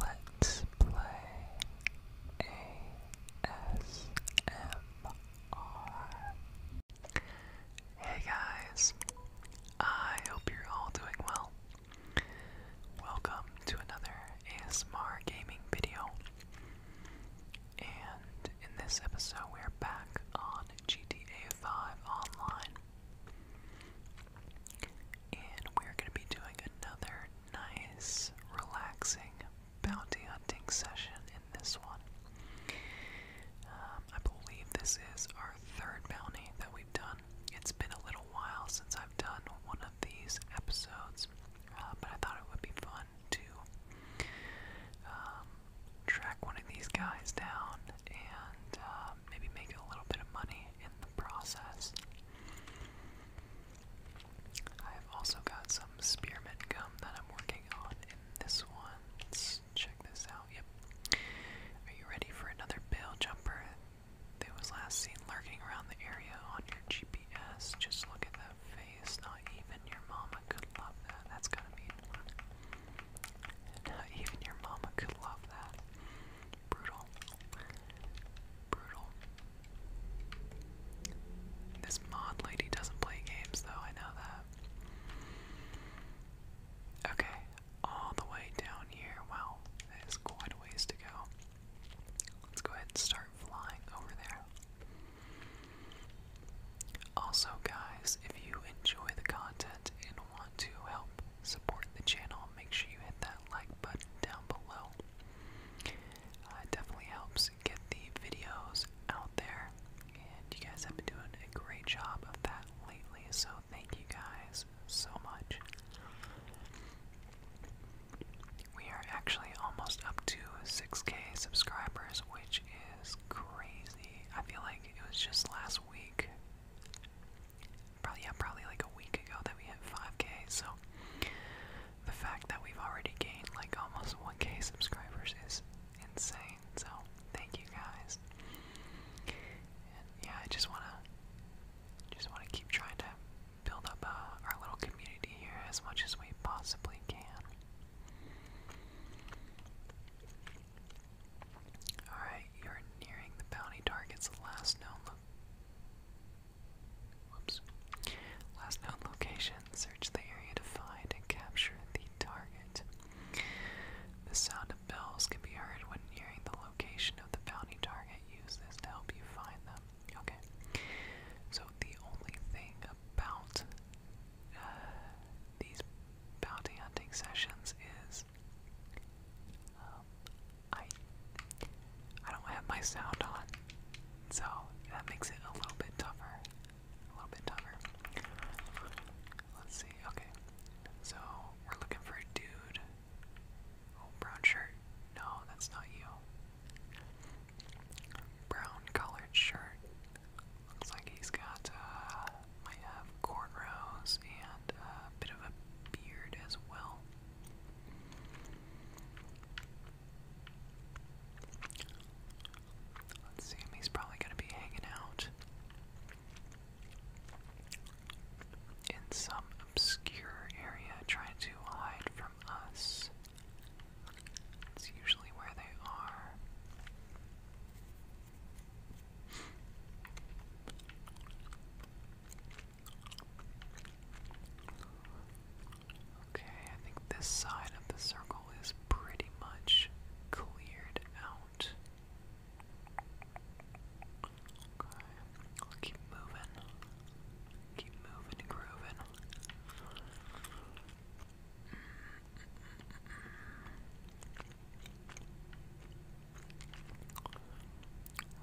Let's play ASMR. Hey guys, I hope you're all doing well. Welcome to another ASMR gaming video. And in this episode, we're back on GTA 5 Online and we're going to be doing another nice, relaxing bounty hunting session in this one. Um, I believe this is our third bounty that we've done. It's been a little while since I've done one of these episodes, uh, but I thought it would be fun to um, track one of these guys down and uh, maybe make a little bit of money in the process. I've also got some spearmint gum that I'm working on in this one. check this out. Yep. Are you ready for another bail jumper? That was last seen lurking around the area on your GPS. Just look at that face. Not even your mama could love that. That's gotta mean. Not even your mama could love that. Brutal. Brutal. This mod lady doesn't play games though, I know that. Okay, all the way down here. Wow, that is quite a ways to go. Let's go ahead and start flying over there. Also, guys, if you enjoy the content and want to help support the channel, make sure you hit that like button down below. Uh, it definitely helps get the videos out there, and you guys have been doing a great job of that lately, so thank you guys so much. We are actually almost up to 6k subscribers, which is crazy. I feel like it was just last week probably yeah, probably like a week ago that we hit 5k. So the fact that we've already gained like almost 1k subscribers is insane. So thank you guys. yeah, I just wanna just wanna keep trying to build up uh, our little community here as much as we possibly can. Alright, you're nearing the bounty target's last known Last known location. Search the area to find and capture the target. The sound of bells can be heard when nearing the location of the bounty target. Use this to help you find them. Okay. So the only thing about uh, these bounty hunting sessions is um, I I don't have my sound on, so that makes it a little bit tougher. A little bit tougher. Let's see. Okay, so we're looking for a dude. Oh, brown shirt. No, that's not you. Brown colored shirt. Looks like he's got, uh, might have cornrows and a bit of a beard as well let he's probably going to be hanging out in some obscure area trying to hide from us. That's usually where they are. Okay, I think this side of the circle is pretty much cleared out. Okay, I'll keep moving. Keep moving and grooving.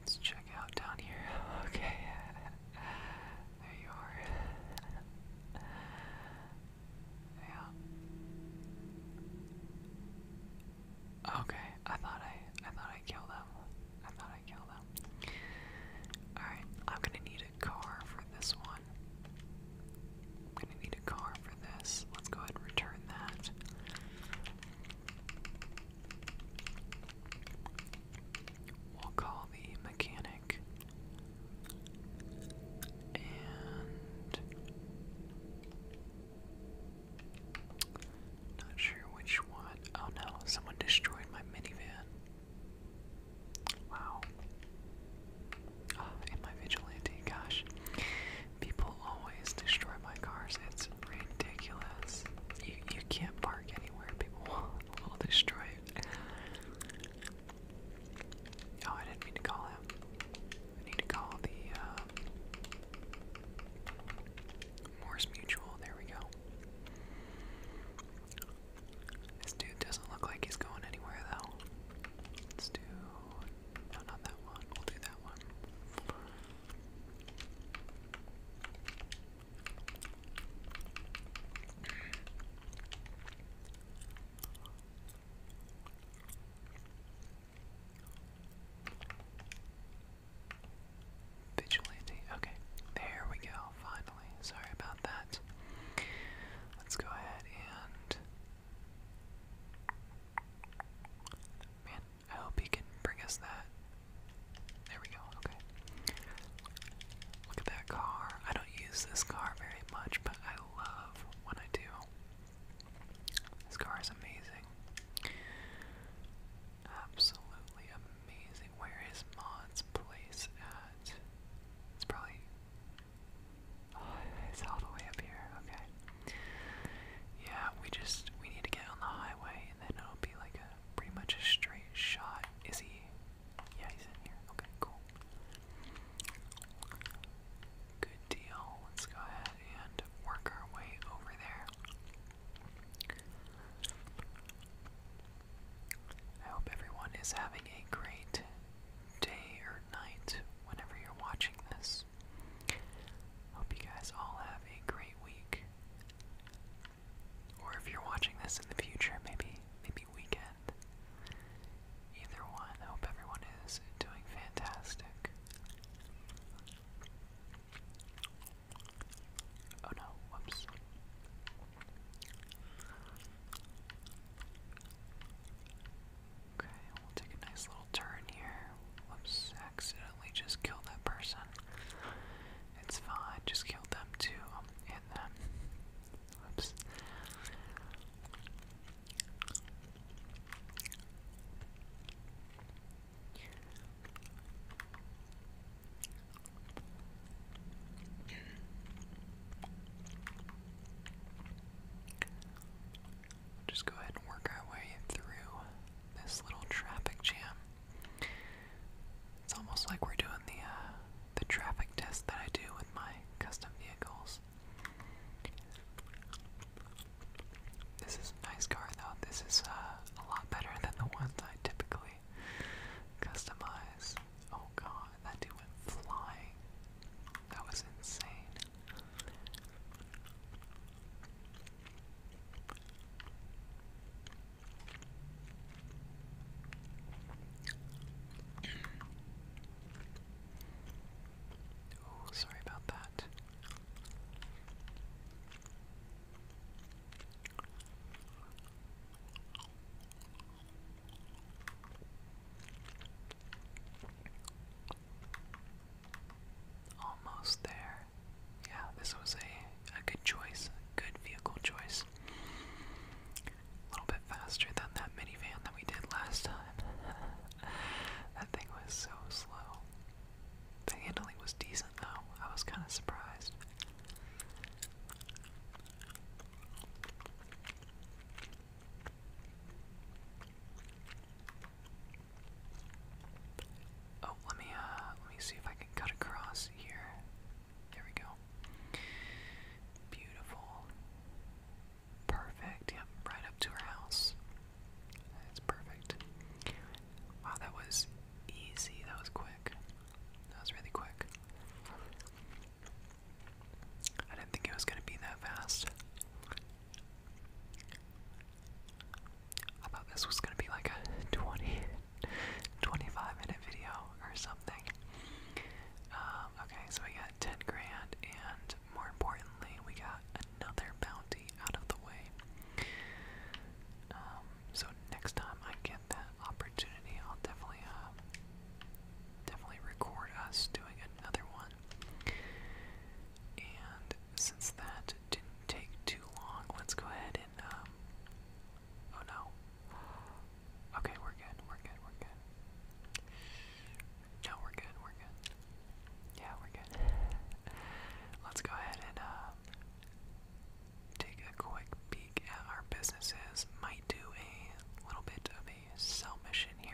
Let's check out down here. Okay. There you are. yeah. Okay, I thought I I thought I killed them. I thought I killed them. Alright, I'm gonna need a car for this one. I'm gonna need a car for this. Let's go ahead and return that. We'll call the mechanic and not sure which one. Oh no, someone destroyed my minivan. Wow. Oh, ah, my vigilante, gosh. People always destroy my cars. It's ridiculous. You you can't park anywhere. People will, will destroy it. Oh, I didn't mean to call him. I need to call the uh, Morse Mutual. There we go. This dude doesn't look like he's going anywhere though. Let's do. not that one. do that one. Vigilante. Okay, there we go, finally. Sorry about that. Let's go ahead and. I hope he can bring us that. There we go, okay. Look at that car. I don't use this car very much, but I love when I do. This car is amazing. Absolutely amazing. Where is Mon's place at? It's probably. it's all the way up here. Okay. Yeah, we just we need to get on the highway, and then it'll be like pretty much a straight shot. Is he? Yeah, he's in here. Okay, cool. Good deal. Let's go ahead and work our way over there. I hope everyone is having a great day or night whenever you're watching this. Hope you guys all have a great week. Or if you're watching this in the future, maybe maybe weekend. Either one, I hope everyone is doing fantastic. Oh no, whoops. Okay, we'll take a nice little turn here. Whoops, accident just kill that person. It's fine, just kill them too, um, and them. Oops. Just go ahead and work our way through this little traffic jam. It's almost like we're doing the uh, the traffic test that I do with my custom vehicles. This is a nice car though. This is uh, a lot better than the ones I typically customize. Oh god, that dude went flying. That was insane. Oh, sorry about that. Almost there yeah, this was a, a good choice, a good vehicle choice. A little bit faster than that minivan that we did last time. that thing was so slow. The handling was decent though. I was kind of surprised. Oh, let me uh let me see if I can cut across here. There we go. Beautiful. Perfect. Yep, right up to her house. That's perfect. Wow, that was easy. That was quick. That was really quick. I didn't think it was going to be that fast. I thought this was gonna be like a 20, 25 minute video or something. Um, okay, so we got 10 grand, and more importantly, we got another bounty out of the way. Um, so next time I get that opportunity, I'll definitely, uh, definitely record us doing another one. And since that didn't take too long, let's go ahead um, oh no. Okay, we're good, we're good, we're good. No, we're good, we're good. Yeah, we're good. Let's go ahead and, uh, take a quick peek at our businesses. Might do a little bit of a sell mission here.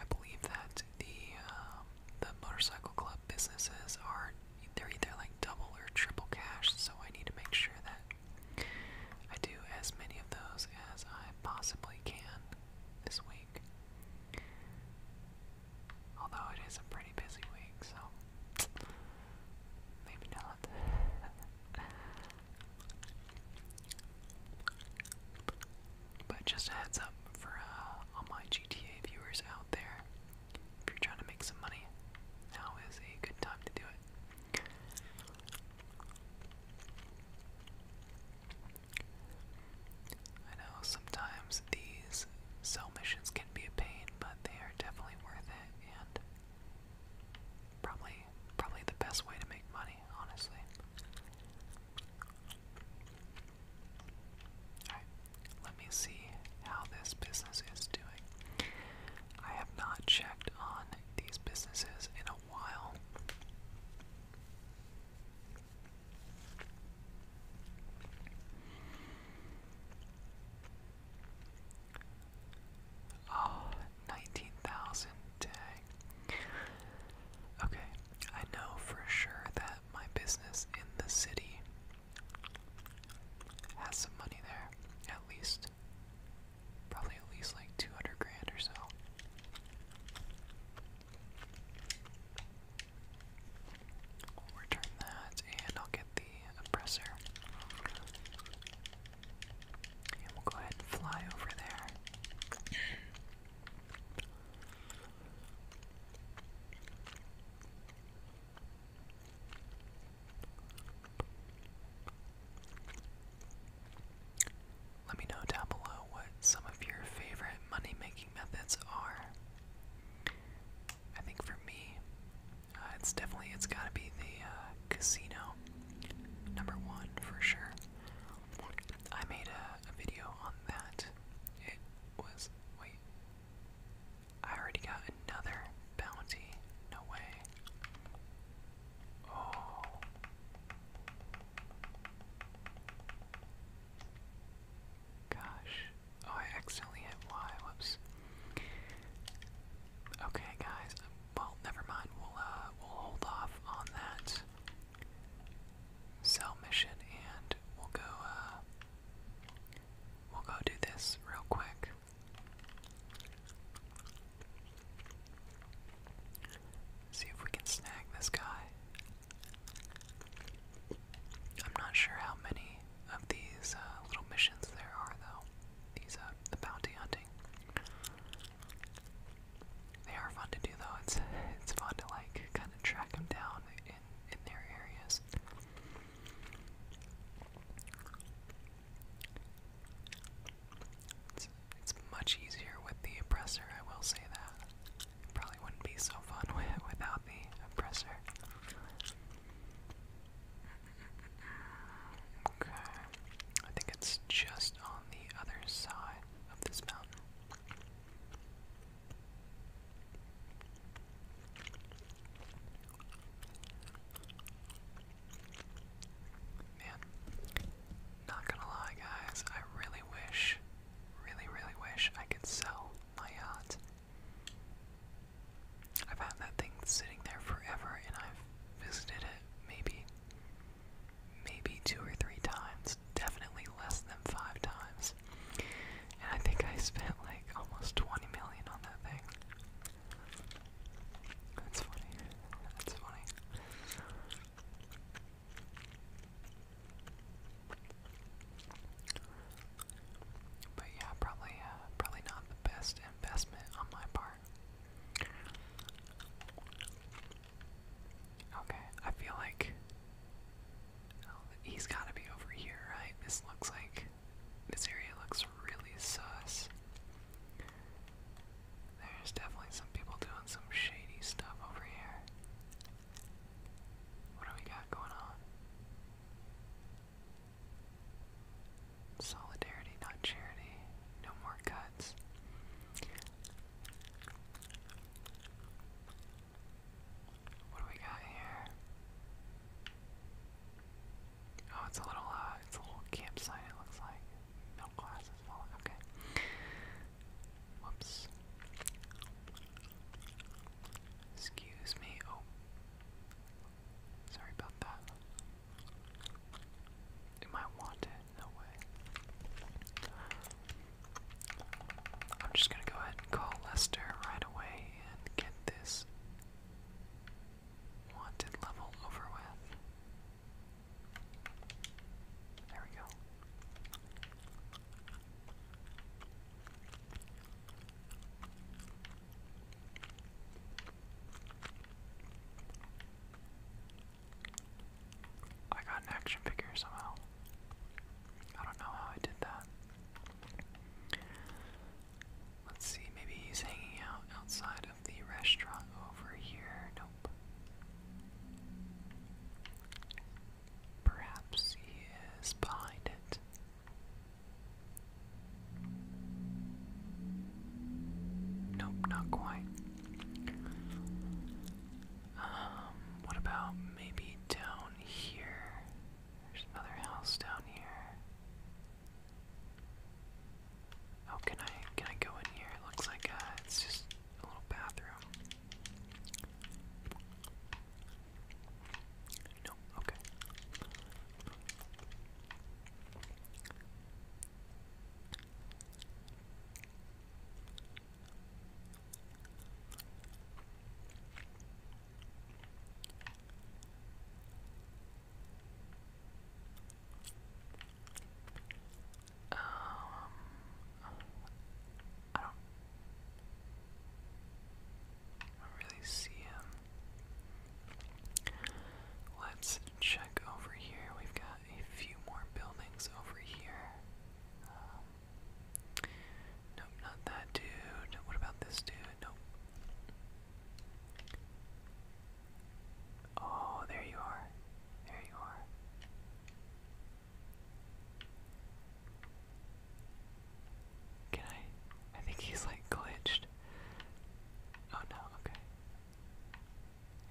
I believe that the um, the motorcycle club businesses are they're either like double or triple cash, so I need to make sure that I do as many of those as I possibly can this week. Although it is a pretty busy week, so maybe not. But just a heads up for uh, all my GTA viewers out there, if you're trying to make some money, now is a good time to do it. I know sometimes these cell missions can be a pain, but they are definitely worth it and probably money. Probably the best way to make money, honestly. Alright, let me see how this business is doing. I have not checked on these businesses in a while. 19,000, Okay, I know for sure that my business in the city has some money there, at least. Probably at least like 200 grand or so. return that and I'll get the oppressor. And we'll go ahead and fly over there. Let me know down below what some of your favorite money making methods are. I think for me, uh, it's definitely it's got to be the uh, casino. Number one for sure. I made a, video on that. It was wait. I already got another bounty. No way. Oh. Gosh. Oh, I accidentally hit Y. Whoops. Okay, guys. Well, never mind. We'll uh, we'll hold off on that cell mission, and we'll go. Uh, we'll go do this real quick. See if we can snag this guy. I'm not sure how many of these uh, little missions there are, though. These uh, the bounty hunting. They are fun to do though. It's it's fun to like kind of track them down in in their areas. It's, it's much easier with the oppressor, I will say that. probably wouldn't be so fun without the oppressor. Okay. I think it's just on the other side of this mountain. Man, not gonna lie, guys, I really wish, really, really wish I could sell my yacht. I've had that thing sitting there forever and I've visited it maybe maybe two or three times, definitely less than five times. And I think I spent like almost 20 million on that thing. That's funny. That's funny. But yeah, probably, uh, probably not the best investment on my part. Okay, I feel like he's gotta be over here, right? This looks like this area looks really sus. There's definitely some people doing some shady stuff over here. What do we got going on? Solidarity, not charity. No more cuts. What do we got here? Oh, it's a little, uh, it's a little campsite, it looks like. glasses falling, okay. Whoops. Excuse me, oh. Sorry about that. Am I wanted? No way. I'm just gonna go ahead and call Lester right away and get this wanted level over with. There we go. I got an action figure somehow. I don't know how I did that. Let's see, maybe he's hanging out outside of the restaurant over here. Nope. Perhaps he is behind it. Nope, not quite. Um, what about maybe down here? There's another house down here. Oh, can I can I go in here? looks like uh, it's just a little bathroom. No, okay. Um, I don't really see him. Let's check over here. We've got a few more buildings over here. Um, nope, not that dude. What about this dude? Nope. Oh, there you are. There you are. Can I? I think he's like glitched. Oh no, okay.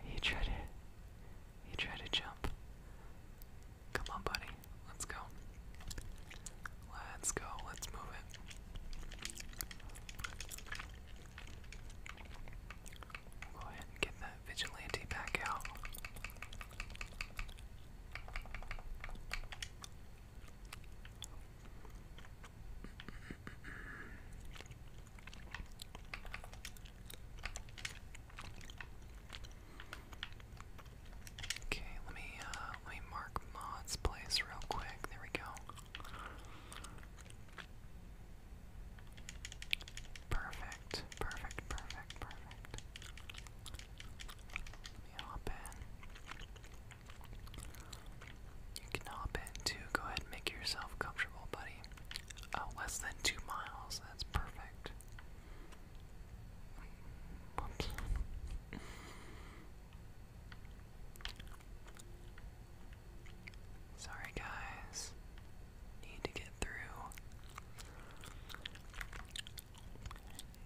He tried to he tried to jump. Come on, buddy. Let's go. Let's go. Let's move it. go ahead get that vigilante back out. Okay, let me uh, let me mark Mod's place real quick. There we go. Perfect, perfect, perfect, perfect. Let me hop in. You can hop in too. Go ahead make yourself comfortable, buddy. Oh, less than two miles. That's perfect. Sorry, guys. Need to get through.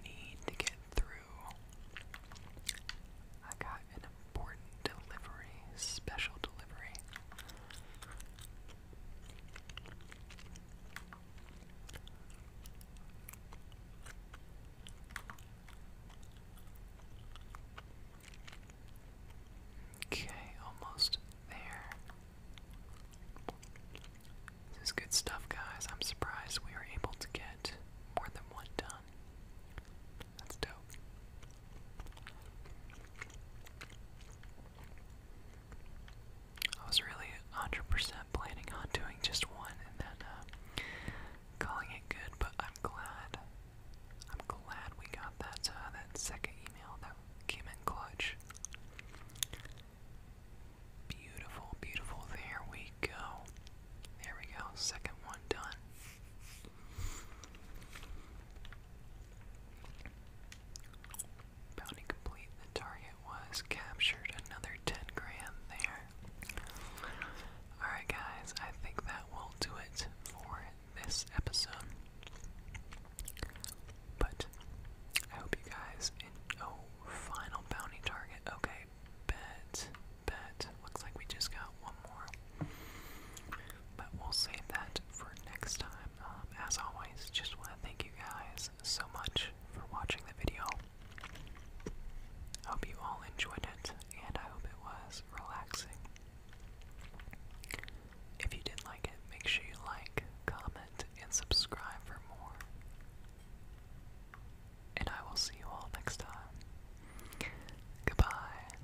Need to get through. I got an important delivery, special delivery. Okay, almost there. This is good stuff, guys. I'm surprised we were able to get more than one done. That's dope. I was really 100% planning on doing just one and then uh, calling it good, but I'm glad. I'm glad we got that uh, that second email that came in clutch. Beautiful, beautiful. There we go. There we go. Second one done. Bounty complete. The target was captured. Another 10 grand there. Alright, guys, I think that will do it for this episode. But I hope you guys. oh, final bounty target. Okay, bet, bet. Looks like we just got one more. But we'll save that for next time. Um, as always, just want to thank you guys so much for watching the video. Hope you all enjoyed it, and I hope it was relaxing. If you did like it, make sure you like, comment, and subscribe for more. And I will see you all next time. Goodbye.